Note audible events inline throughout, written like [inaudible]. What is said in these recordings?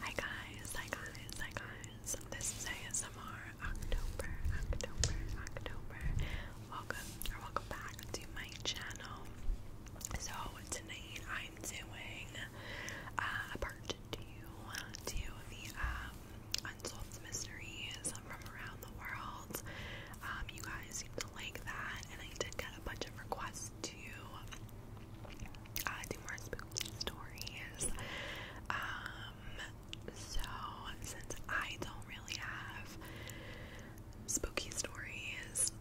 Hi guys, hi guys, hi guys. This is ASMR October, October, October. Welcome or welcome back to my channel. So tonight I'm doing uh, a part two to the um, unsolved mysteries from around the world. Um, you guys seem to like that, and I did get a bunch of requests to uh, do more spooky stories. Um, so since I don't really have spooky stories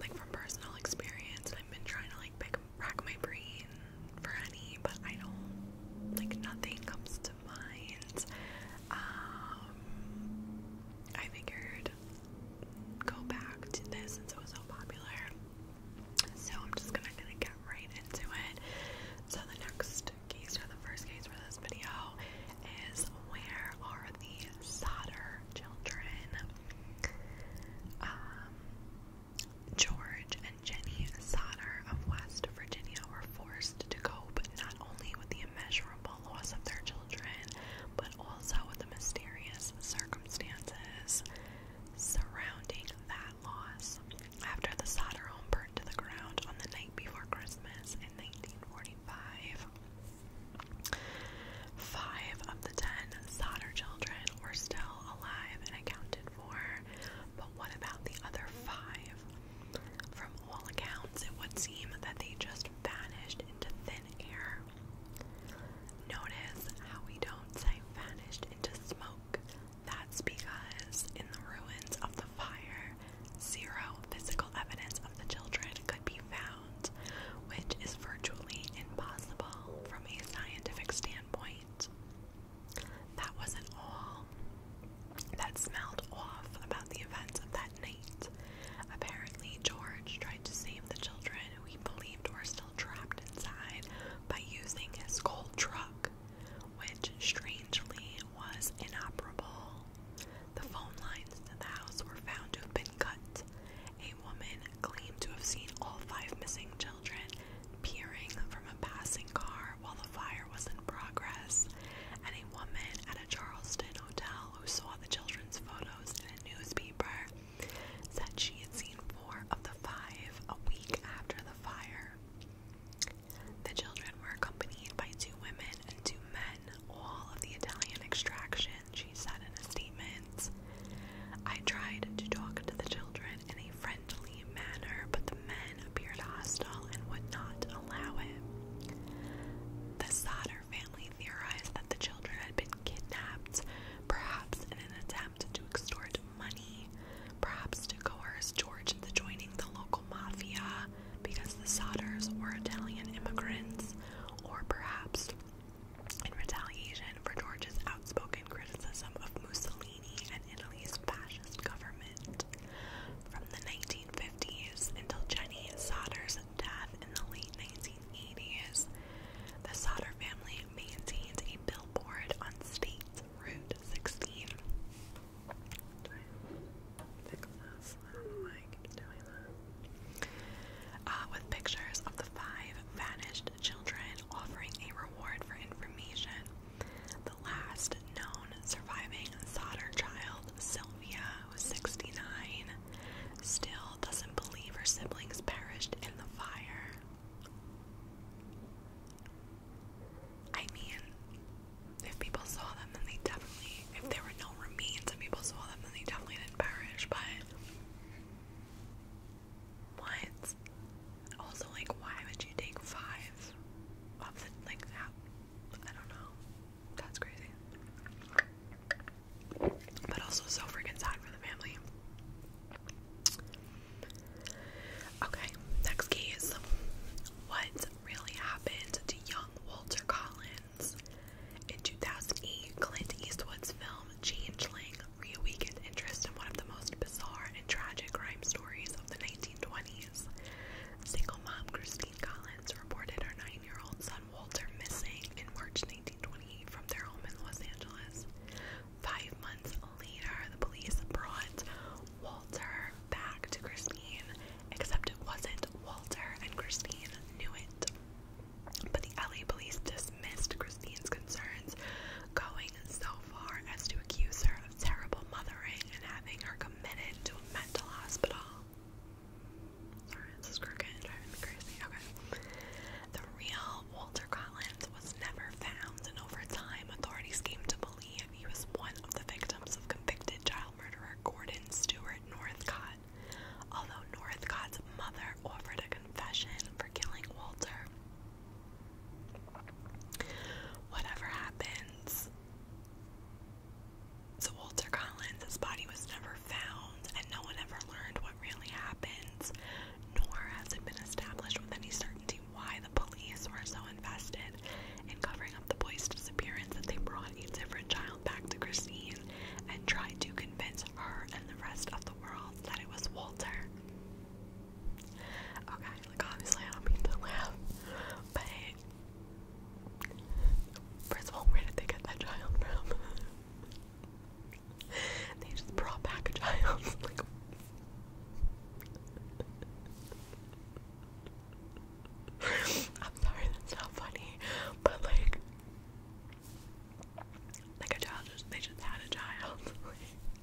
like from personal experience, I've been trying to like pick rack my brain for any, but I don't like nothing comes to mind. Um, I figured go back to this since it was so popular. So I'm just gonna, gonna get right into it. So the next case or the first case for this video is where are the solder children? Um, George and Jenny Sauter of West Virginia were forced to cope not only with the immeasurable loss of their children, but but also the mysterious circumstances surrounding that loss. After the Sauter home burned to the ground on the night before Christmas in 1945, five of the ten Sauter children were still alive and accounted for. But what about the other five? From all accounts, it would seem that they just vanished into thin air. Notice how we don't say vanished into smoke. That's because in the ruins of the fire, zero physical evidence of the children could be found, which is virtually impossible from a scientific standpoint. That wasn't all that smelled off about the events of that night. Apparently, George tried to save the children we believed were still trapped inside by using his gold truck, which strangely was inoperable. The phone lines to the house were found to have been cut. A woman claimed to have seen all five missing children peering from a passing car while the fire was in progress, and a woman at a Charleston hotel who saw the children's photos in a newspaper that she had seen four of the five a week after the fire. The children were accompanied by two women and two men, all of the Italian extraction, she said in a statement. I tried to talk to the children in a friendly manner, but the men appeared hostile and would not allow it. The Sauter family theorized that the children had been kidnapped, perhaps in an attempt to extort money, perhaps to coerce George into joining the local mafia because the Sodders were Italian immigrants, or perhaps in retaliation for George's outspoken criticism of Mussolini and Italy's fascist government. From the 1950s until Jenny Sodder's death in the late 19 the Sauter family maintained a billboard on State Route 16. Uh, with pictures of the five vanished children offering a reward for information. The last known surviving Sauter child, Sylvia, was 69, still doesn't believe her siblings perished in the fire. I mean, if people saw them, then they definitely, if there were no remains and people saw them, then they definitely didn't perish, but. What? Also, like, why would you take five of the, like, I don't know. That's crazy but also so freaking sad for the family. Okay, next case. What really happened to young Walter Collins? In 2008, Clint Eastwood's film Changeling reawakened interest in one of the most bizarre and tragic crime stories of the 1920s. Single mom Christine Collins reported her nine year old son Wolds are missing in March 1928 from their home in Los Angeles. Five months later, the police brought Walter back to Christine, except it wasn't Walter, and Christine knew it. But the LA police dismissed Christine's concerns, going so far as to accuse her of terrible mothering and having her committed to a mental hospital. Sorry, this is crazy. Okay. The real Walter Collins was never found, and over time, authorities came to believe he was one of the victims of convicted child murderer Gordon Stewart Northcott. Although Northcott's mother offered a confession for killing Walter. Whatever happens to Walter Collins, his body was never found, and no one ever learned what really happened. nor has it been established with any certainty why the police were so invested in covering up the boy's disappearance that they brought a different child back to Christine and tried to convince her and the rest of the world that it was Walter. Okay, like obviously I don't mean to laugh, but first of all, where did they get that child from? [laughs] [laughs] they just brought back a child. [laughs] I'm sorry, that's not funny, but like, like a child just they just had a child.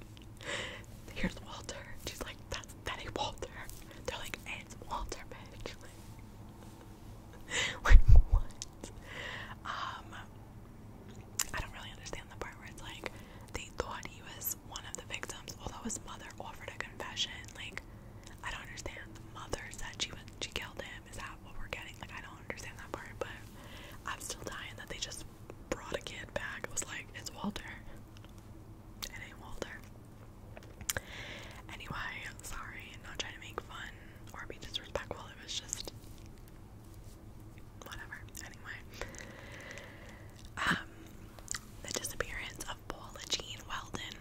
[laughs] Here's Walter. She's like, that's Betty Walter. They're like, it's Walter, bitch. what? Um, I don't really understand the part where it's like they thought he was one of the victims, although his mother offered a confession. Like, I don't understand. The mother said she was, she killed him. Is that what we're getting? Like, I don't understand that part, but I'm still dying that they just brought a kid back. It was like, it's Walter. It ain't Walter. Anyway, sorry, not trying to make fun or be disrespectful. It was just whatever. Anyway, um, the disappearance of Paula Jean Weldon.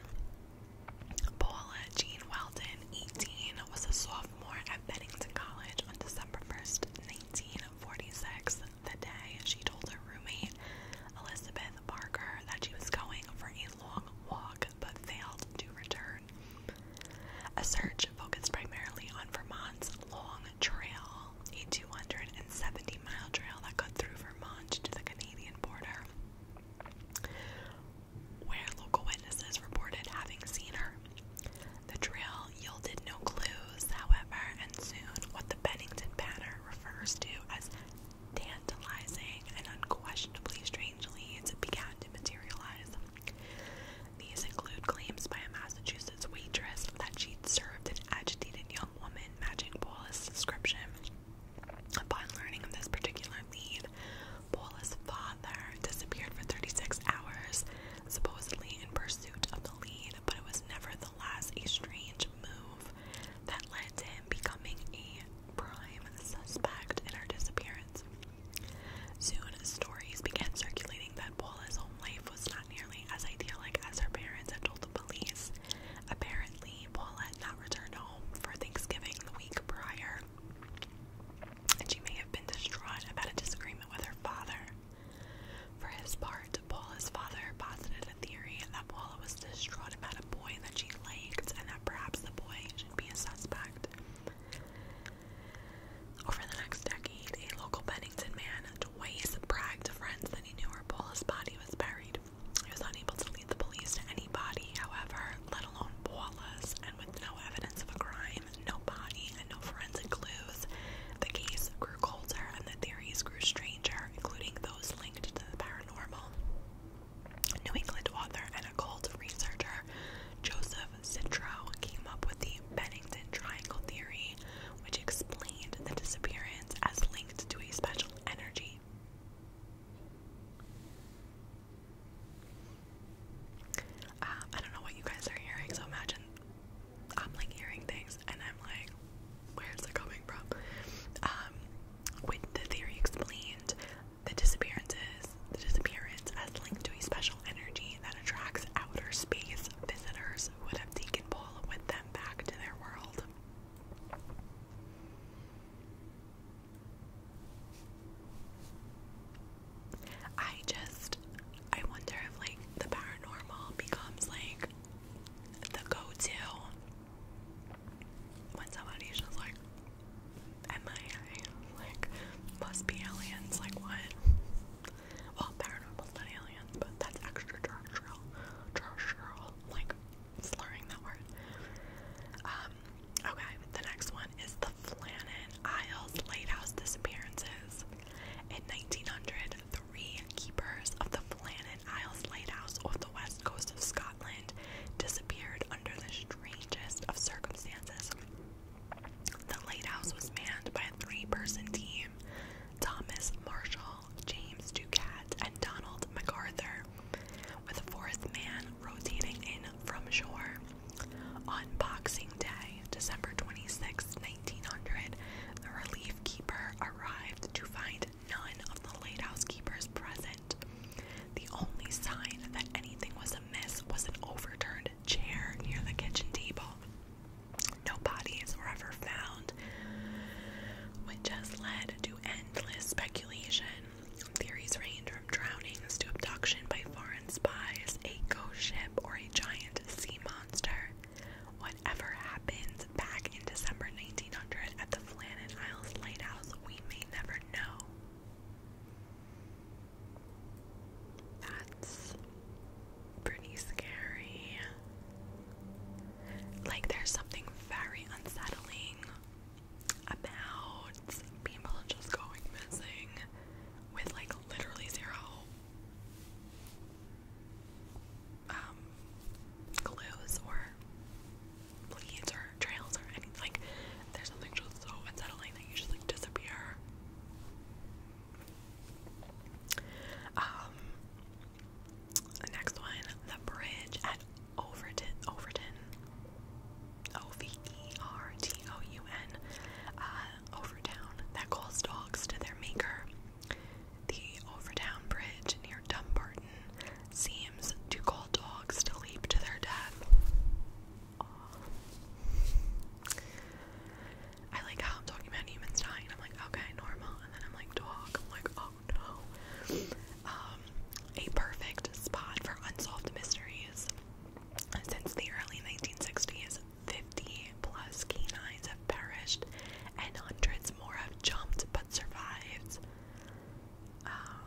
Paula Jean Weldon, 18, was a sophomore at Bennington College on December 1st, 1946. The day she told her roommate, Elizabeth Parker, that she was going for a long walk but failed to return. A search focused primarily on Vermont's Long Trail, a 270 mile trail that cut through Vermont to the Canadian border, where local witnesses reported having seen her. The trail yielded no clues, however, and soon what the Bennington Banner refers to as tantalizing and unquestionably strangely, leads began to materialize. These include claims by a Massachusetts waitress that she'd served an agitated young woman matching Paula's description. Upon learning of this particular lead, Paula's father disappeared for 36 hours, supposedly in pursuit of the lead, but it was nevertheless a strange move that led to him becoming a prime suspect in her disappearance. Soon, stories began circulating that Paula's home life was not nearly as idyllic as her parents had told the police. Apparently, Paula had not returned home for Thanksgiving the week prior, and she may have been distraught about a disagreement with her father. For his part, Paula's father posited a theory that Paula was distraught about a boy that she liked and that perhaps the boy should be a suspect. Over the next decade, a local Bennington man twice bragged to friends that he knew where Paula's body was buried. He was unable to lead the police to any body, however, let alone Paula's, and with no evidence of a crime, no body, and no forensic clues, the case grew colder and the theories grew stranger, including those linked to the paranormal. New England author and occult researcher Joseph Citro came up with the Bennington Triangle Theory, which explained the disappearance as linked to a special energy. Um, I don't know what you guys are hearing, so imagine I'm like hearing things and I'm like, where's it coming from? Um, with the theory explained, the disappearances, the disappearance as linked to a special energy that attracts outer space visitors would have taken Paul with them back to their world. I just, I wonder if like the paranormal becomes like the go to when somebody's just like, MIA. Like, must be aliens. Like, what? Well, paranormal's not alien, but that's extraterrestrial. Terrestrial. Like, slurring that word. Um, okay, the next one is the Flannan Isles Lighthouse Disappearances. In 1903, keepers of the Flannan Isles Lighthouse off the west coast of Scotland disappeared under the strangest of circumstances. The lighthouse was manned by a three person team Thomas Marshall, James Ducat, and Donald MacArthur, with a fourth man rotating in from shore. On Boxing Day, December 26, 1900, the relief keeper arrived to find none of the lighthouse keepers present. The only sign that anything was amiss was an overturned chair near the kitchen table. No bodies were ever found, which has led to endless speculation. Theories range from drownings to abduction by foreign spies, a ghost ship, or a giant sea monster. Whatever happens back in December 1900 at the Flannan Isles Lighthouse, we may never know. That's pretty scary. Like, there's something very unsettling about people just going missing with, like, literally zero um, clues or leads or trails or anything. Like, there's something just so unsettling that you just, like, disappear um, the next one, the bridge at Overton, Overton, O-V-E-R-T-O-U-N, uh, that calls dogs to their maker. The Overton Bridge near Dumbarton seems to call dogs to leap to their death. I like how I'm talking about humans dying. I'm like, okay, normal, and then I'm like, talk. I'm like, oh no. Um, a perfect spot for unsolved mysteries. Since the early 1960s, 50 plus canines have perished, and hundreds more have jumped but survived. Um,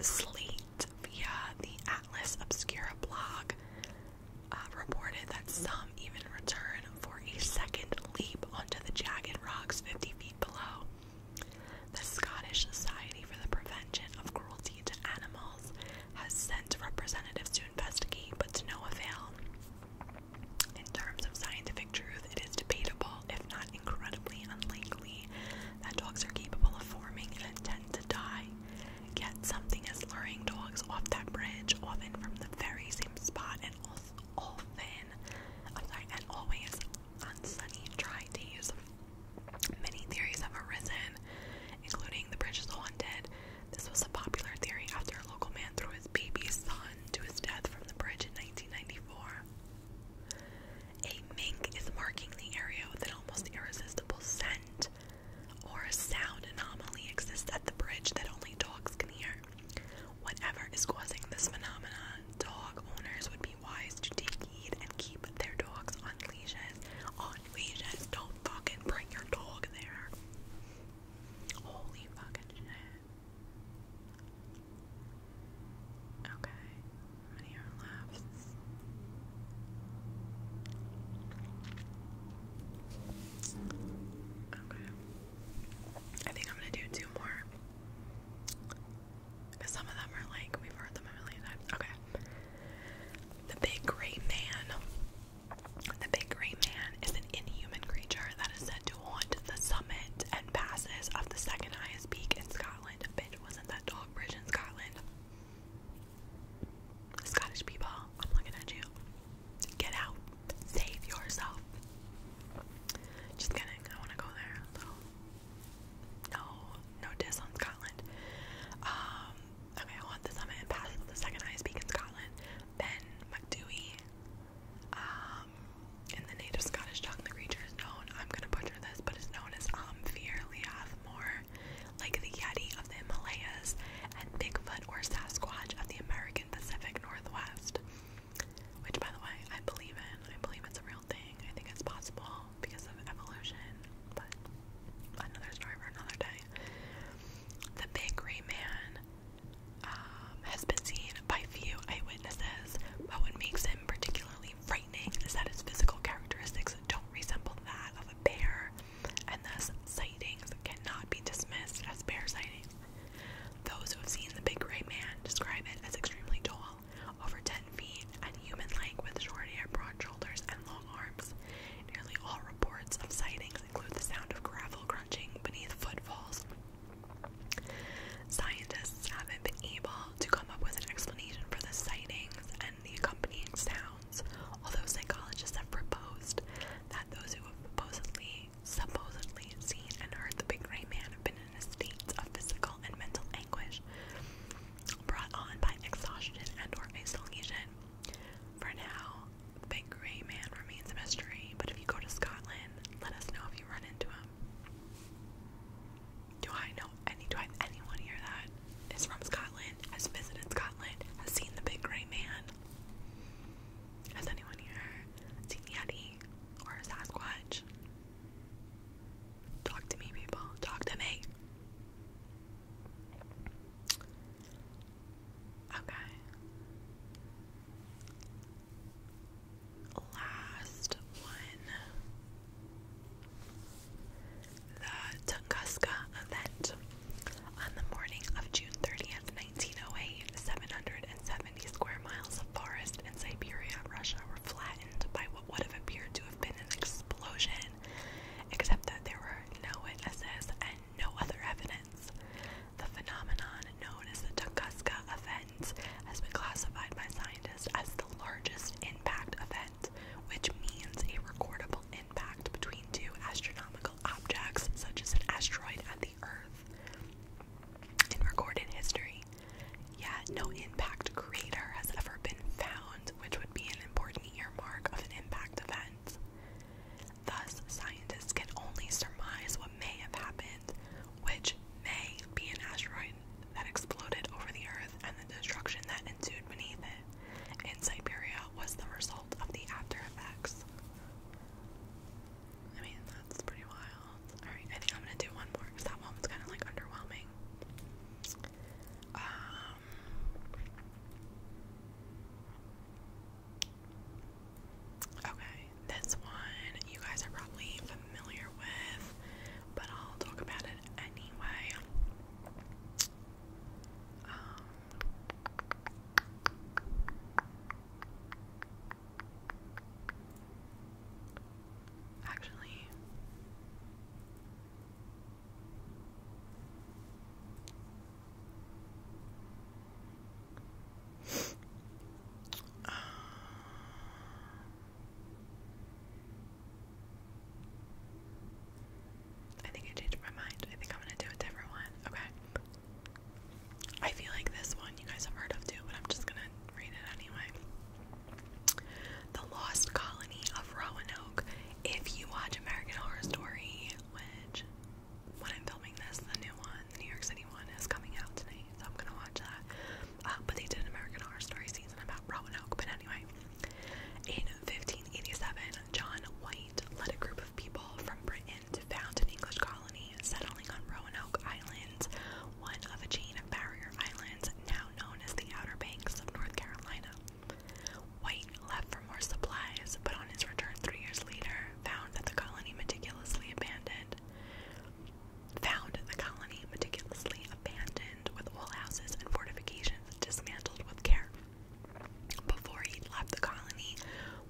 Sleet via the Atlas Obscura blog uh, reported that some even return for a second leap onto the jagged rocks 50 feet below. The Scottish Society for the Prevention of Cruelty to Animals has sent representatives to investigate, but to no avail. In terms of scientific truth, it is debatable if not incredibly unlikely, that dogs are capable of forming and intend to die. get something as luring dogs off that bridge, often from the very same spot and often, I'm sorry, and always on sunny, dry days. Many theories have arisen, including the bridge is haunted. This was a popular theory after a local man threw his baby son to his death from the bridge in 1994. A mink is marking the area with an almost irresistible scent, or a sound anomaly exists at the bridge that only dogs can hear. Whatever is causing this phenomenon, dog owners would be wise to take heed and keep their dogs on leashes. On leashes, don't fucking bring your dog there. Holy fucking shit. Okay, how many are left? Okay. I think I'm gonna do two more. Because some of them are like, we've heard them a million times. Okay. The big gray man. The big gray man is an inhuman creature that is said to haunt the summit and passes of the second highest peak in Scotland, wasn't that dog bridge in Scotland? Scottish people, I'm looking at you. Get out. Save yourself. Just kidding. I want to go there. No, no diss on Scotland. Um, okay, I want the summit and pass the second highest peak in Scotland. Ben McDewey. Um, in the native Scottish tongue, the creature is known, I'm gonna butcher this, but it's known as Omphir um, Leothmore, like the Yeti of the Himalayas, and Bigfoot or Sasquatch of the American Pacific Northwest. Which, by the way, I believe in. I believe it's a real thing. I think it's possible because of evolution, but another story for another day. The Big Gray Man um, has been seen by few eyewitnesses, but what makes him particularly really frightening is that its physical characteristics don't resemble that of a bear, and thus sightings cannot be dismissed as bear sightings. Those who have seen the big gray man describe it as extremely tall, over 10 feet, and human like with short hair, broad shoulders, and long arms. Nearly all reports of sightings include the sound of gravel crunching beneath footfalls. Scientists just haven't been able to come up with an explanation for the sightings and the accompanying sounds, although psychologists have proposed that those who have supposedly, supposedly seen and heard the big gray man have been in a state of physical and mental anguish brought on by exhaustion and or isolation. For now, the big gray man remains a mystery, but if you go to Scotland, let us know if you run into him. Do I know any? Do I anyone here that is from Scotland, has visited Scotland, has seen the Big Grey Man? Has anyone here seen Yeti or Sasquatch? Talk to me, people. Talk to me. Okay last one the Tunguska event. On the morning of June 30th, 1908, 770 square miles of forest in Siberia, Russia were flattened by what would have appeared to have been an explosion, except that there were no witnesses and no other evidence. The phenomenon known as the Tunguska event has been classified by scientists as the largest impact event, which means a recordable impact between two astronomical objects, such as an asteroid and the Earth, in recorded history. Yet, no impact crater has ever been found, which would be an important earmark of an impact event. Thus, scientists can only surmise what may have happened, which may be an asteroid that exploded over the earth and the destruction that ensued beneath it in Siberia was the result of the after effects. I mean, that's pretty wild. Alright, I think I'm gonna do one more that one was kind of like underwhelming. Um, okay, this one, you guys are probably familiar with, but I'll talk about it anyway. Um, actually, um, I think I changed my mind. I think I'm gonna do a different one. Okay. I feel like this one you guys have heard of too, but I'm just gonna read it anyway. The Lost Colony of Roanoke. If you watch American Horror Story, which when I'm filming this, the new one, the New York City one, is coming out tonight, so I'm gonna watch that. Ah, but they did an American Horror Story season about Roanoke. But anyway, in 1587, John White led a group of people from Britain to found an English colony settling on Roanoke Island, one of a chain of barrier islands now known as the Outer Banks of North Carolina. White left for more supplies, but on his return three years later, found that the colony meticulously abandoned found the colony meticulously abandoned, with all houses and fortifications dismantled with care. Before he left the colony,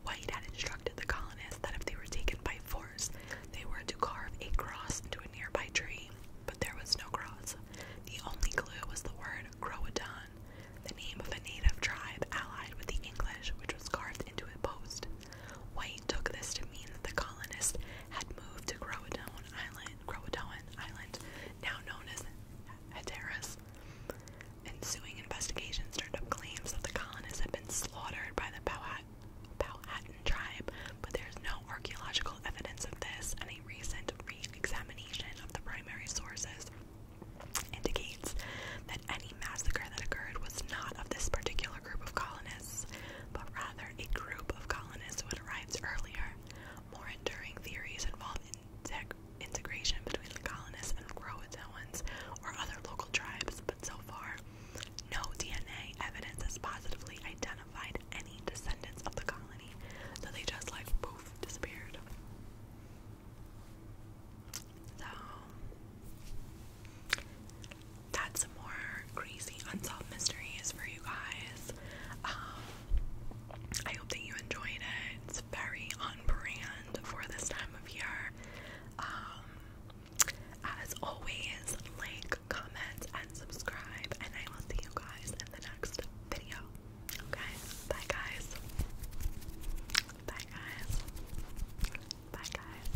White had instructed the colonists that if they were taken by force, they were to carve a cross into a nearby tree. But there was no cross. The only clue was the word Croatan, the name of a native tribe allied with the English, which was carved into a post. White took this to mean that the colonists had moved to Croatan Island, Croatoan Island, now known as Hatteras. Ensuing investigations turned up claims that the colonists had been slaughtered by the Powhat Powhatan tribe, but there is no archaeological evidence of this, and a recent re-examination of the primary sources indicates that any massacre that occurred was not of this particular group of colonists but rather a group of colonists who had arrived earlier. More enduring theories involve integration between the colonists and Croatoans or other local tribes, but so far, no DNA evidence has positively identified any descendants of the colony, so they just like poof disappeared. So, that's a more crazy unsolved mysteries for you guys. Um, I hope that you enjoyed it. It's very on brand for this time of year. Um, as always, like, comment, and subscribe, and I will see you guys in the next video. Okay? Bye, guys. Bye, guys. Bye, guys.